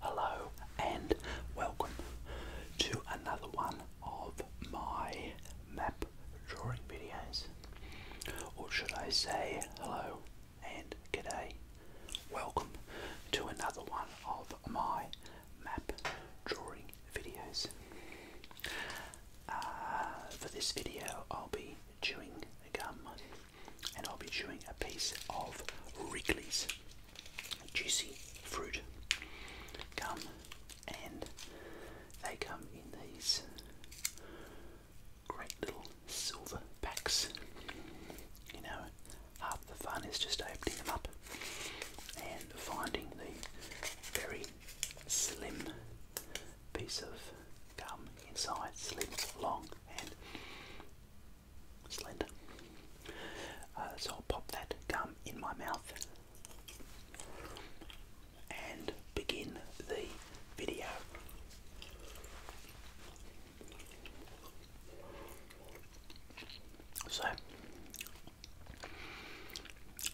Hello and welcome to another one of my map drawing videos. Or should I say hello and g'day. Welcome to another one of my map drawing videos. Uh, for this video I'll be chewing gum and I'll be chewing a piece of Wrigley's juicy fruit gum, and they come in these great little silver packs. You know, half the fun is just opening them up and finding the very slim piece of gum inside, slim, long, and slender. Uh, so I'll pop that gum in my mouth and begin the video. So,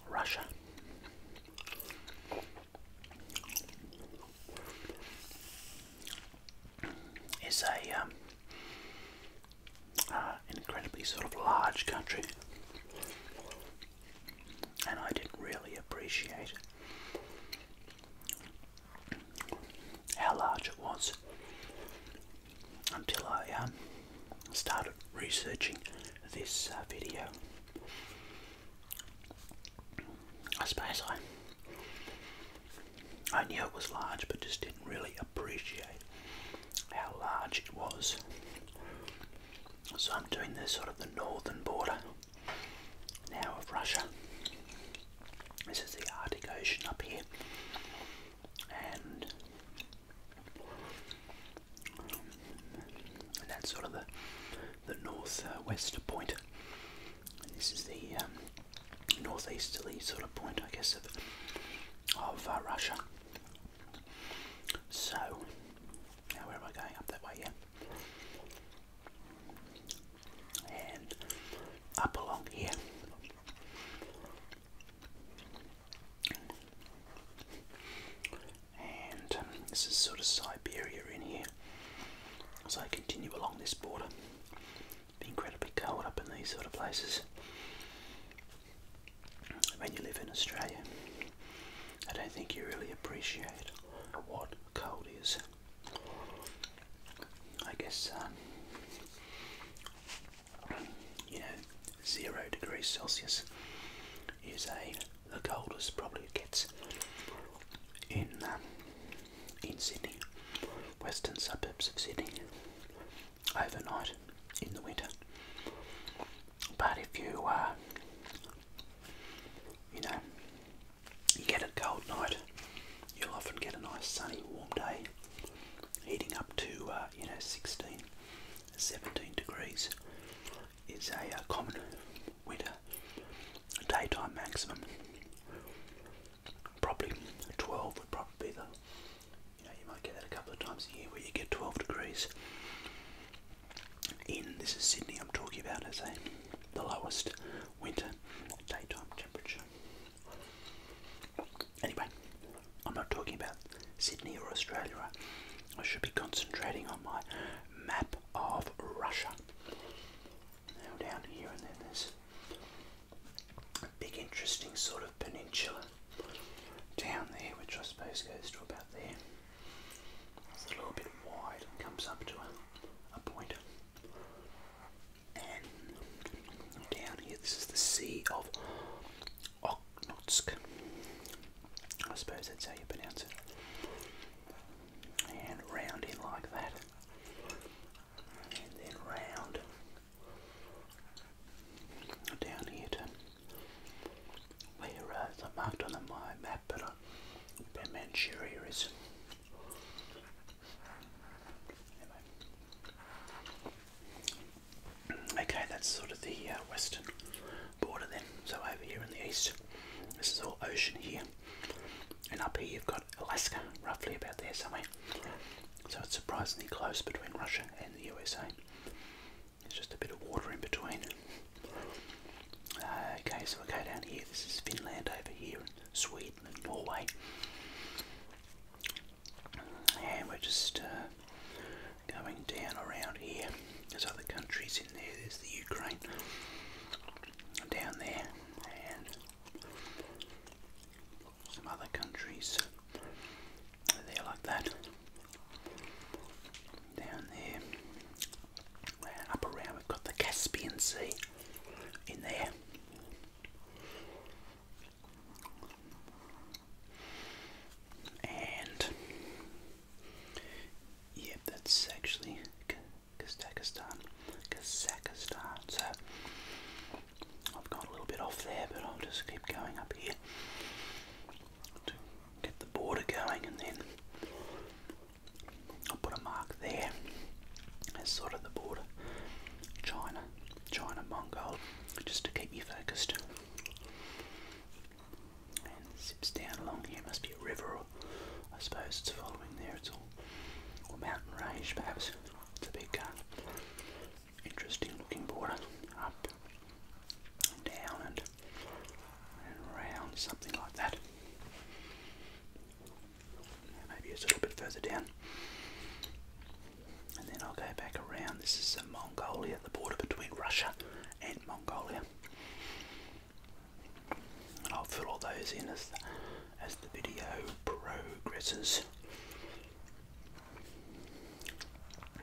Russia is a um, uh, incredibly sort of large country, and I didn't really appreciate how large it was until I um, started researching this uh, video. I suppose I I knew it was large, but just didn't really appreciate how large it was. So I'm doing this sort of the northern border now of Russia. This is the Arctic Ocean up here, and, um, that's sort of the the northwest uh, point this is the um, northeasterly sort of point, I guess, of, of uh, Russia. So, now where am I going? Up that way, yeah? And up along here. And um, this is sort of Siberia in here. So I continue along this border incredibly cold up in these sort of places. When you live in Australia, I don't think you really appreciate what cold is. I guess, um, you know, zero degrees Celsius is a the coldest probably it gets in um, in Sydney, western suburbs of Sydney, overnight in the winter. But if you, uh, you know, get a cold night, you'll often get a nice sunny, warm day, heating up to, uh, you know, 16, 17 degrees is a uh, common winter daytime maximum probably 12 would probably be the you know you might get that a couple of times a year where you get 12 degrees in this is Sydney I'm talking about as a the lowest winter daytime temperature anyway I'm not talking about Sydney or Australia I should be concentrating on my map of Russia down here and then there's a big interesting sort of peninsula down there which I suppose goes to about there. It's a little bit wide and comes up to a, a point. And down here this is the Sea of Okhotsk. I suppose that's how you pronounce it. And round in like that and then round down here to where uh, it's marked on my map, but uh, Manchuria is. Anyway. Okay, that's sort of the uh, western border then. So over here in the east, this is all ocean here. And up here you've got Alaska, roughly about there somewhere. So it's surprisingly close between Russia and the USA. There's just a bit of water in between. Uh, okay, so we go down here. This is Finland over here, and Sweden and Norway. And we're just uh, going down around here. There's other countries in there. There's the Ukraine down there and some other countries. they like that. Down there, round, up around, we've got the Caspian Sea in there. And Yep, that's actually Kazakhstan. Kazakhstan. So I've gone a little bit off there, but I'll just keep going up here to get the border going, and then I'll put a mark there as sort of the border. China, China, Mongolia. just to keep you focused. And it zips down along here. Must be a river or I suppose it's following there It's all. mountain range perhaps. It's a big uh, interesting looking border. Up and down and, and around, something like that. Maybe it's a little bit further down. And then I'll go back around. This is uh, Mongolia, the border between Russia and Mongolia and I'll fill all those in as the, as the video progresses.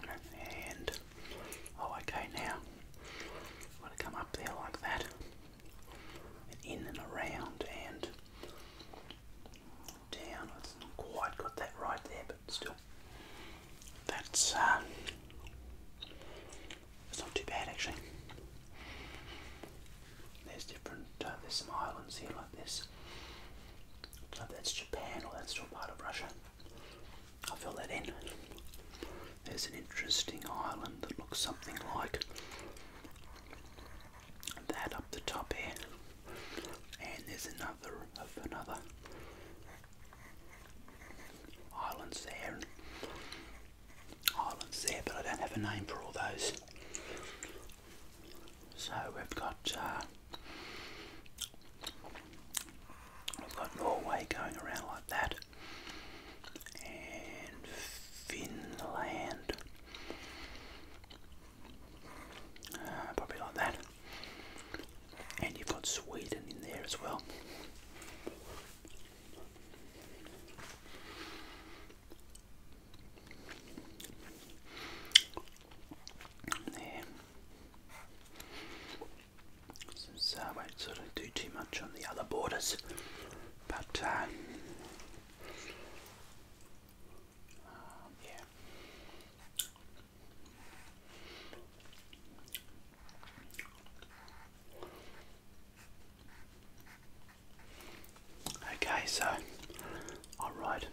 And oh, okay, now I'm going to come up there like that, and in and around, and down. It's not quite got that right there, but still, that's uh, it's not too bad actually. There's different, uh, there's some islands here like this. So that's Japan or that's still part of Russia. I'll fill that in. There's an interesting island that looks something like that up the top here. And there's another of another islands there islands there, but I don't have a name for all those. So we've got uh, we've got Norway going around like that, and Finland, uh, probably like that, and you've got Sweden in there as well. There. I uh, won't sort of do too much on the other borders, but uh, um, yeah. Okay, so I'll write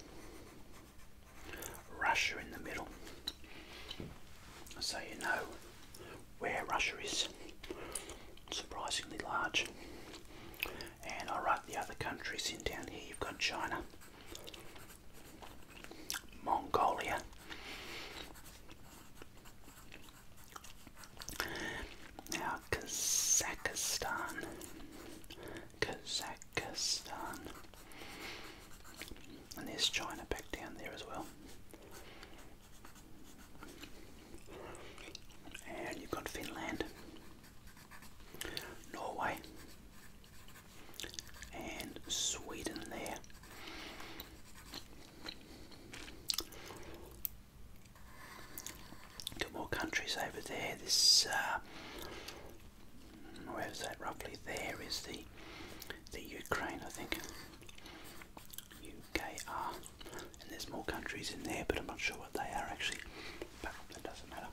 Russia in the middle so you know where Russia is. Surprisingly large. And I write the other countries in down here. You've got China, Mongolia, now, Kazakhstan. Kazakhstan. And there's China back down there as well. And you've got Finland, Norway, and Sweden there. Got more countries over there. This uh, where is that roughly? There is the the Ukraine, I think. UKR, ah. and there's more countries in there, but I'm not sure what they are actually. doesn't matter.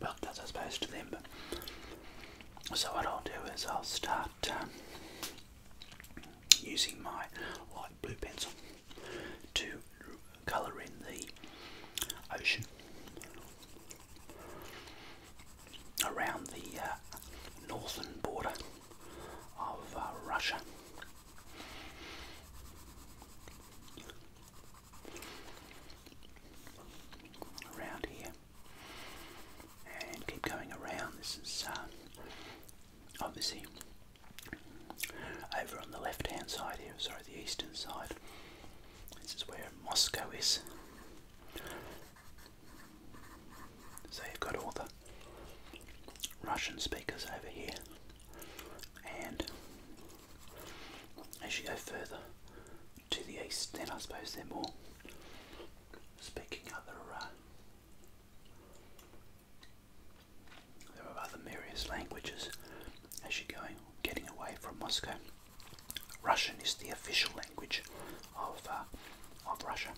Well, does I suppose to them. so what I'll do is I'll start. Um, using my light blue pencil to colour in the ocean around the uh, northern border of uh, Russia. Around here and keep going around. This is uh, obviously over on the left hand side here, sorry, the eastern side, this is where Moscow is. So you've got all the Russian speakers over here, and as you go further to the east, then I suppose they're more speaking other uh, there are other various languages as you're going, getting away from Moscow. Russian is the official language of, uh, of Russia.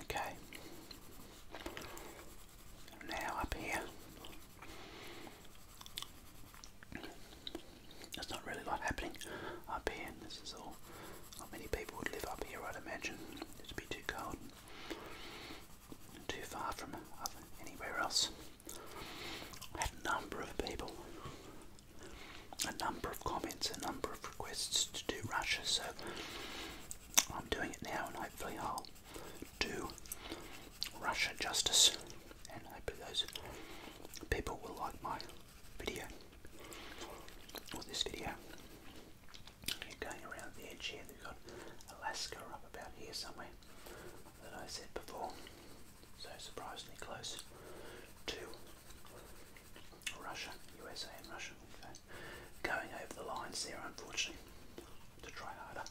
Okay. Now up here. There's not really a lot happening up here. This is all not many people would live up here, I'd imagine. It'd be too cold, too far from anywhere else. I had a number of people, a number of comments, a number of requests to do Russia, so I'm doing it now, and hopefully I'll do Russia justice, and hopefully those people will like my video or this video. going around the edge here. We've got Alaska up about here somewhere that I said before. So surprisingly close to Russia, USA and Russia. Okay. Going over the lines there, unfortunately, to try harder.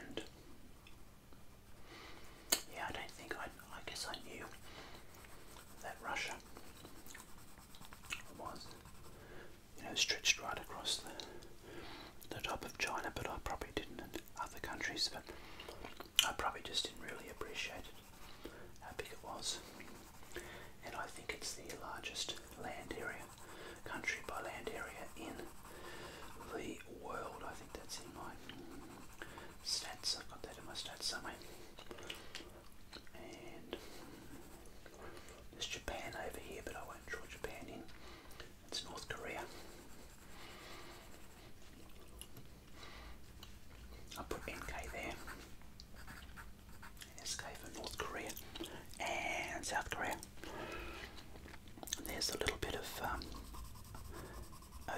And yeah, I don't think I. I guess I knew that Russia was, you know, stretched right across the the top of China, but I probably didn't. And other countries, but I probably just didn't really appreciate it, how big it was. And I think it's the largest land area, country by land area in the world. I think that's in my stats. I've got that in my stats somewhere. there's Japan over here, but I won't draw Japan in. It's North Korea. I will put NK there. SK for North Korea and South Korea. there's a little bit of um,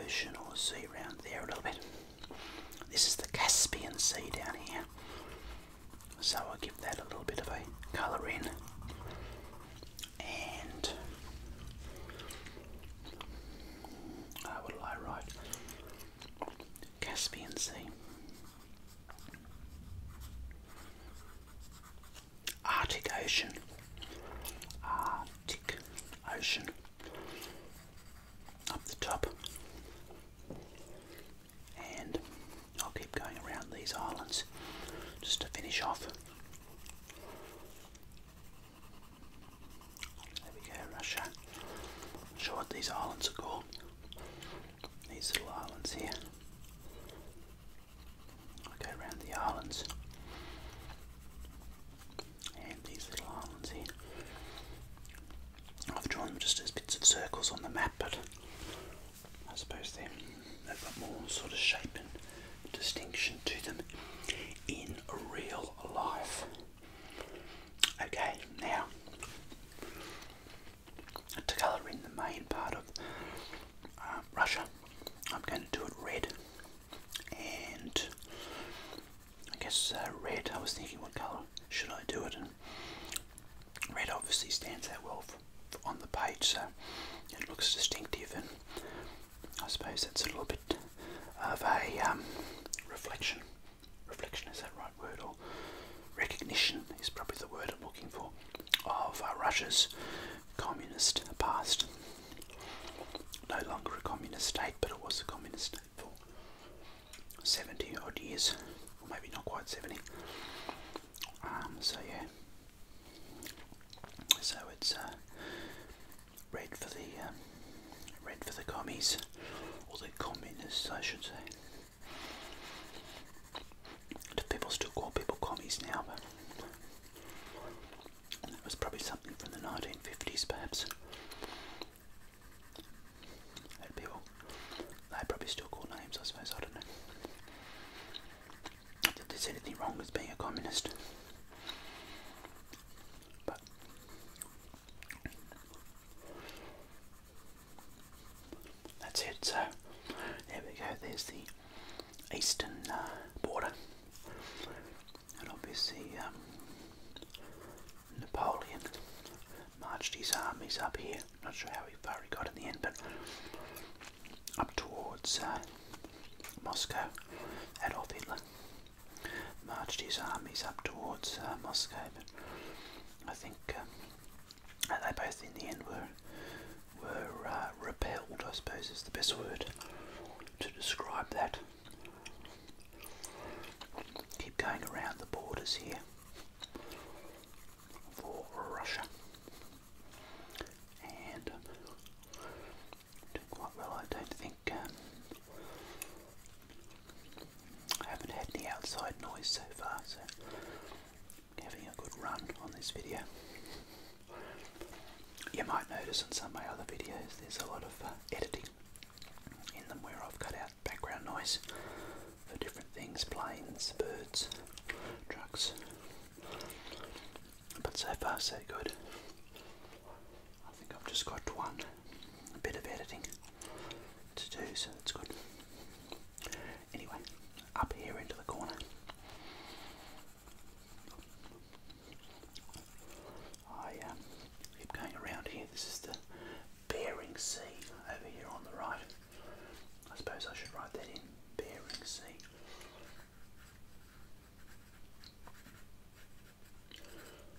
ocean or sea around there a little bit. This is the Caspian Sea down here. So I'll give that a little bit of a colour in. And uh, what will write? Caspian Sea. Arctic Ocean. Arctic Ocean up the top. And I'll keep going around these islands just to finish off. There we go, Russia. i sure what these islands are called. These little islands here. I'll go around the islands and these little islands here. I've drawn them just as bits of circles on the map, but I suppose they, they've got more sort of shape and distinction to them in real life. Okay, now to colour in the main part of uh, Russia, I'm going to do it red and I guess uh, red. I was thinking, what colour should I do it? And red obviously stands out well on the page, so it looks distinctive. And I suppose it's a little bit of a um, reflection. Reflection is that right word, or recognition is probably the word I'm looking for of uh, Russia's communist past no longer a communist state, but it was a communist state for 70 odd years, maybe not quite 70. Um, so, yeah, so it's uh, red for the um, red for the commies, or the communists, I should say. Do people still call people commies now? and that was probably something from the 1950s perhaps. And people, they probably still call names I suppose, I don't know. Not that there's anything wrong with being a communist. But that's it, so there we go, there's the eastern uh, border and obviously, um, Napoleon marched his armies up here. Not sure how far he got in the end, but up towards uh, Moscow. Adolf Hitler marched his armies up towards uh, Moscow, but I think um, they both in the end were were uh, repelled. I suppose is the best word to describe that. Keep going around the borders here for Russia. And uh, quite well, I don't think. Um, I haven't had any outside noise so far, so having a good run on this video. You might notice in some of my other videos there's a lot of uh, editing in them where I've cut out background noise for different things, planes, birds, trucks. But so far so good. I think I've just got one bit of editing to do, so that's good. Anyway, up here into the corner. I um, keep going around here. This is the Bering Sea over here on the right. I suppose I should write that in Bering Sea.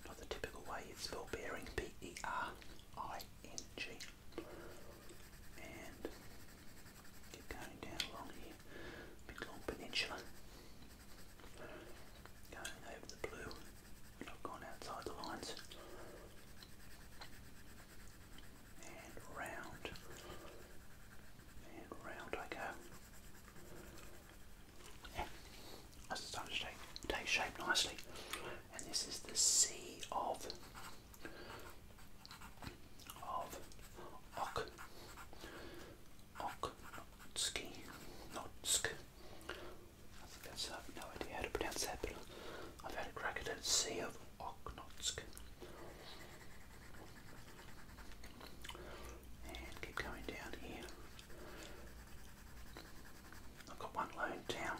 Not the typical way you'd Bering, B E R I N G. And keep going down along here. Big peninsula. Going over the blue, not going outside the lines. And round. And round I go. Yeah, starting to take, take shape nicely. And this is the sea of of ock. Ock, Notsk. I think that's, I have no idea how to pronounce that, but I've had a crack Sea of Okhnotsk. And keep going down here. I've got one loan down.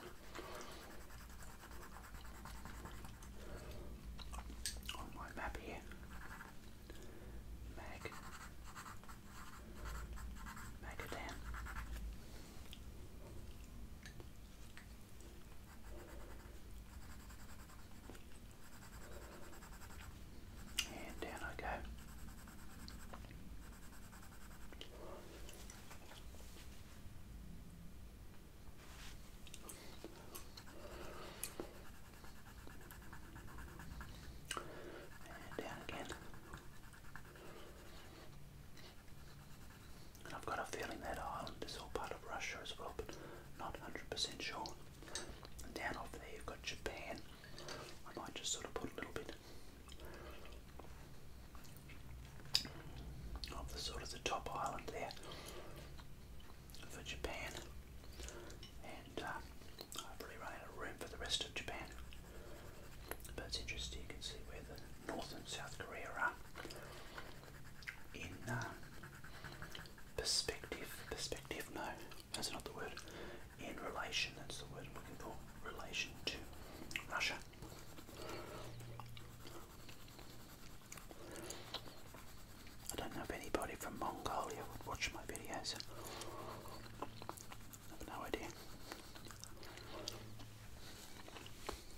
On my map here, Mag Magadan and down I go. And down again. And I've got a feeling that island is all part of Russia as well, but not 100% sure. And down off there you've got Japan. I might just sort of put a little bit of the sort of the top island there for Japan, and uh, I've really run out of room for the rest of Japan. But it's interesting, you can see where the North and South Korea are in uh, perspective. Perspective, no, that's not the word. In relation, that's the word I'm looking for. Relation to Russia. I don't know if anybody from Mongolia would watch my videos. have no idea.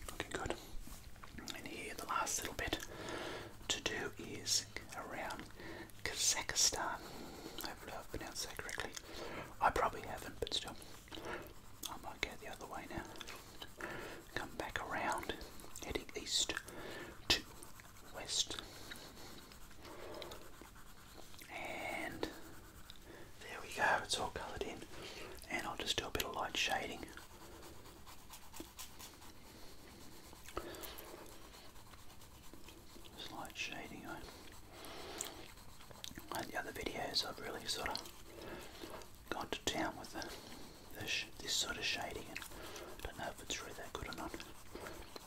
Looking good. And here, the last little bit to do is around Kazakhstan. Hopefully, I've pronounced that correctly. I probably haven't, but still. I might go the other way now. Come back around, heading east to west. And there we go, it's all coloured in. And I'll just do a bit of light shading. Just light shading on. Eh? the other videos, I've really sort of gone to town with it this, sort of shading and I don't know if it's really that good or not.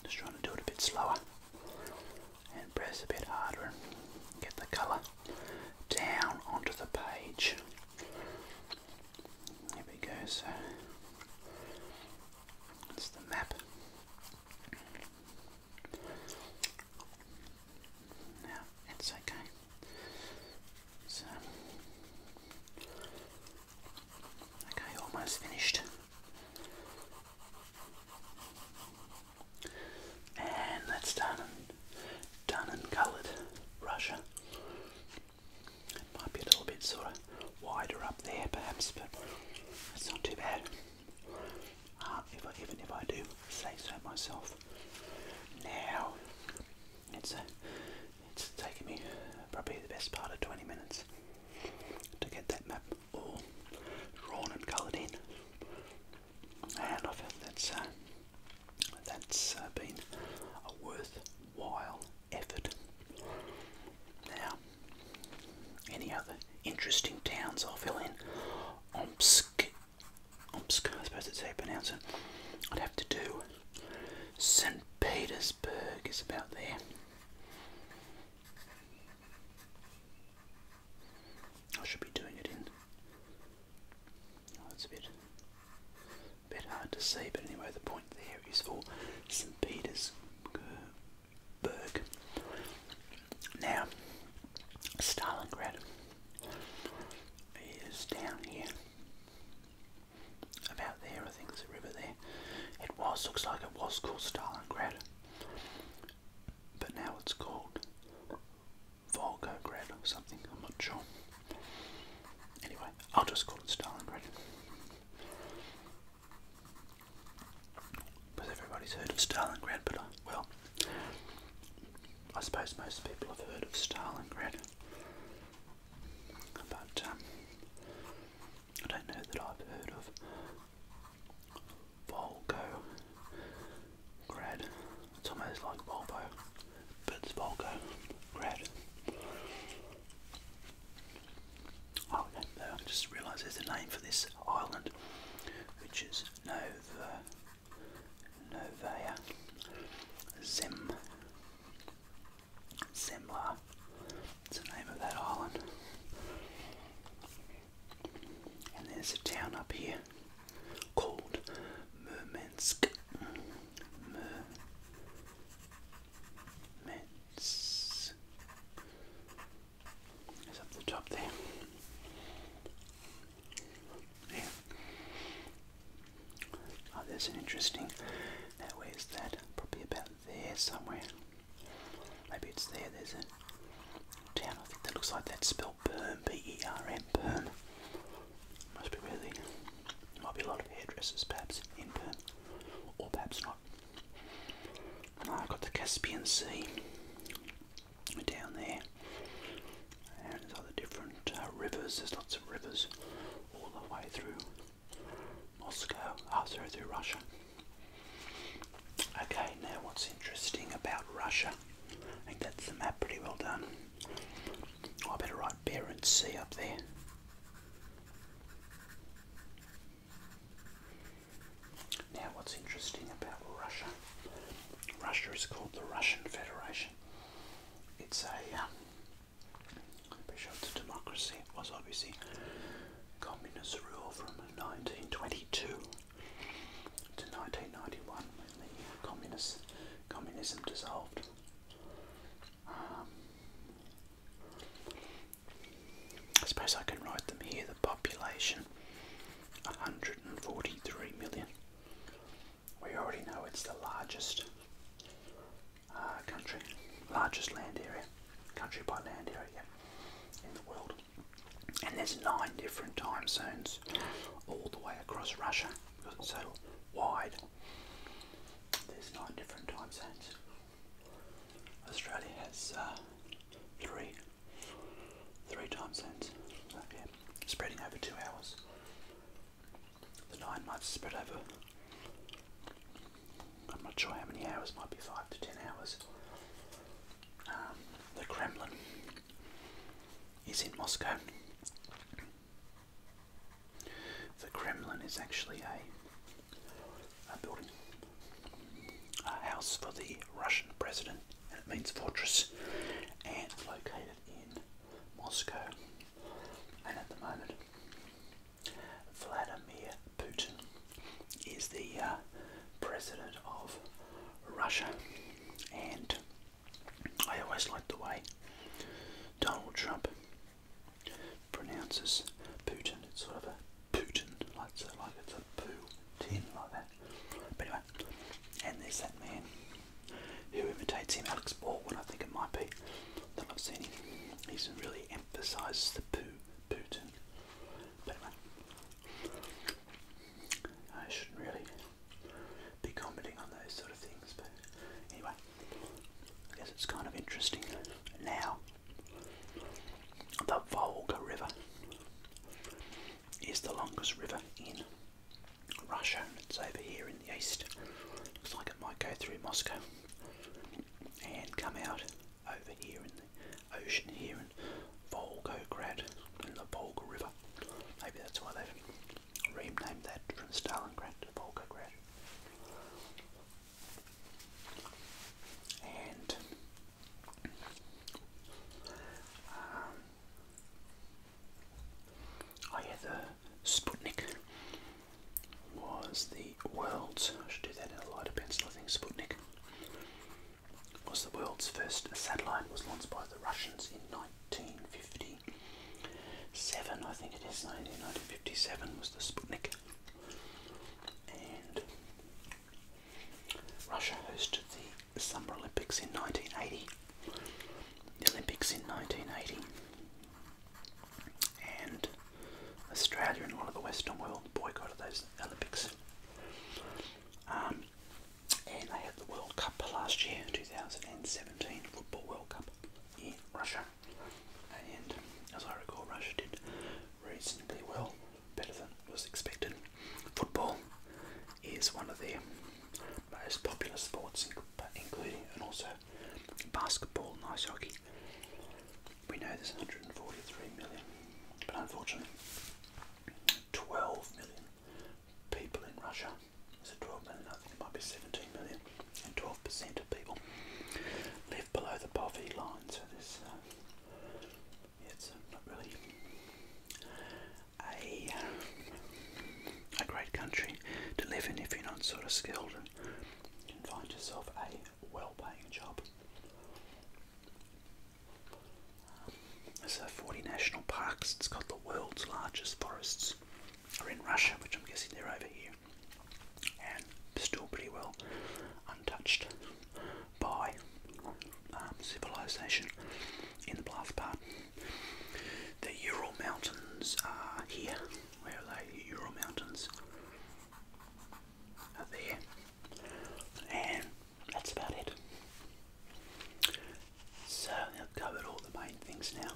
Just trying to do it a bit slower and press a bit harder and get the colour down onto the page. Here we go, so that's the map. Now it's okay. So Okay, almost finished. And that's done and done and coloured Russia. It might be a little bit sort of wider up there perhaps, but it's not too bad. Uh, even if I do say so myself. Now it's a it's taken me probably the best part of 20 minutes to get that map all drawn and coloured in. And I felt that's, uh, that's uh, been a worthwhile effort. Now, any other interesting towns I'll fill in? Omsk, Omsk, I suppose that's how you pronounce it. I'd have to do St. Peter's Pittsburgh is about there. I should be doing it in. Oh, it's a bit, bit hard to see, but anyway, the point there is for St. Petersburg. Now, Stalingrad is down here about there, I think there's a river there. It was, looks like it was called Stalingrad, but now it's called Volga Volgograd or something, I'm not sure. Anyway, I'll just call it Stalingrad. Because everybody's heard of Stalingrad, but I, uh, well, I suppose most people have heard of Stalingrad but um, I don't know that I've heard of Volgo grad. It's almost like Volgo, but it's Volgo grad. Oh, no, I just realised there's a name for this island, which is Nova, Novaya Zem. Simla. It's the name of that island. And there's a town up here called Murmansk. Murmansk. It's up the top there. Yeah. Oh, there's an interesting. Now, where's that? Probably about there somewhere. Maybe it's there. There's a town, I think, that looks like that spelled Perm, B E R M, Perm. Must be really. Might be a lot of hairdressers, perhaps, in Perm. Or perhaps not. Ah, I've got the Caspian Sea down there. And other different uh, rivers. There's lots of rivers all the way through Moscow, after oh, through Russia. Okay, now what's interesting about Russia? I think that's the map pretty well done. Oh, I better write Bear and Sea up there. Now what's interesting about Russia? Russia is called the Russian Federation. It's a um, Bishop to democracy was obviously communist rule from 1922 to 1991 when the communist, communism dissolved. Um, I suppose I can write them here, the population 143 million we already know it's the largest uh, country, largest land area, country by land area in the world. And there's nine different time zones all the way across Russia because it's so wide. There's nine different time zones. Australia has uh, three, three time zones. yeah, spreading over two hours. The line might spread over. I'm not sure how many hours, might be five to ten hours. Um, the Kremlin is in Moscow. The Kremlin is actually a, a building, a house for the Russian president, and it means fortress, and located in Moscow. And at the moment, Vladimir Putin is the uh, president of Russia, and I always like the way Donald Trump pronounces Putin. It's sort of a Putin, like, so like it's a poo like that. But anyway, and there's that man who imitates him, Alex Baldwin, I think it might be, that I've seen him. He's really emphasises the poo, Putin. But I shouldn't really be commenting on those sort of things, but anyway, I guess it's kind of interesting. Now, the Volga River is the longest river in Russia. It's over here in the east. Looks like it might go through Moscow and come out over here in the ocean here in Volgograd in the Volga River. Maybe that's why they've renamed that from Stalingrad to Volgograd. And um, Oh yeah, the Sputnik was the world's, I should do that in a lighter pencil, I think Sputnik was the world's first satellite. It was launched by the Russians in 1957, I think it is, 1957 was the Sputnik. And Russia hosted the Summer Olympics in 1980, Olympics in 1980, and Australia and a lot of the Western world boycotted those Olympics. Um, and they had the World Cup last year, 2017 Football World Cup in Russia. And as I recall, Russia did reasonably well, better than was expected. Football is one of the most popular sports, including and also basketball and ice hockey. We know there's 143 million, but unfortunately, 12 million people in Russia. Is it 12 million? I think it might be 17 million, and 12% of people live below the poverty line. So this, uh, it's not really a a great country to live in if you're not sort of skilled and can find yourself a well-paying job. Um, there's uh, 40 national parks. It's got the world's largest forests. Are in Russia, which I'm guessing they're over here, and still pretty well untouched by um, civilization in the last part. The Ural Mountains are here. Where are they? Ural Mountains are there. And that's about it. So I've covered all the main things now.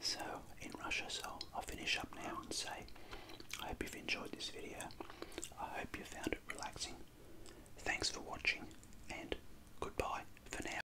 So in Russia, so I'll finish up now and say I hope you've enjoyed this video. I hope you found it relaxing. Thanks for watching and goodbye for now.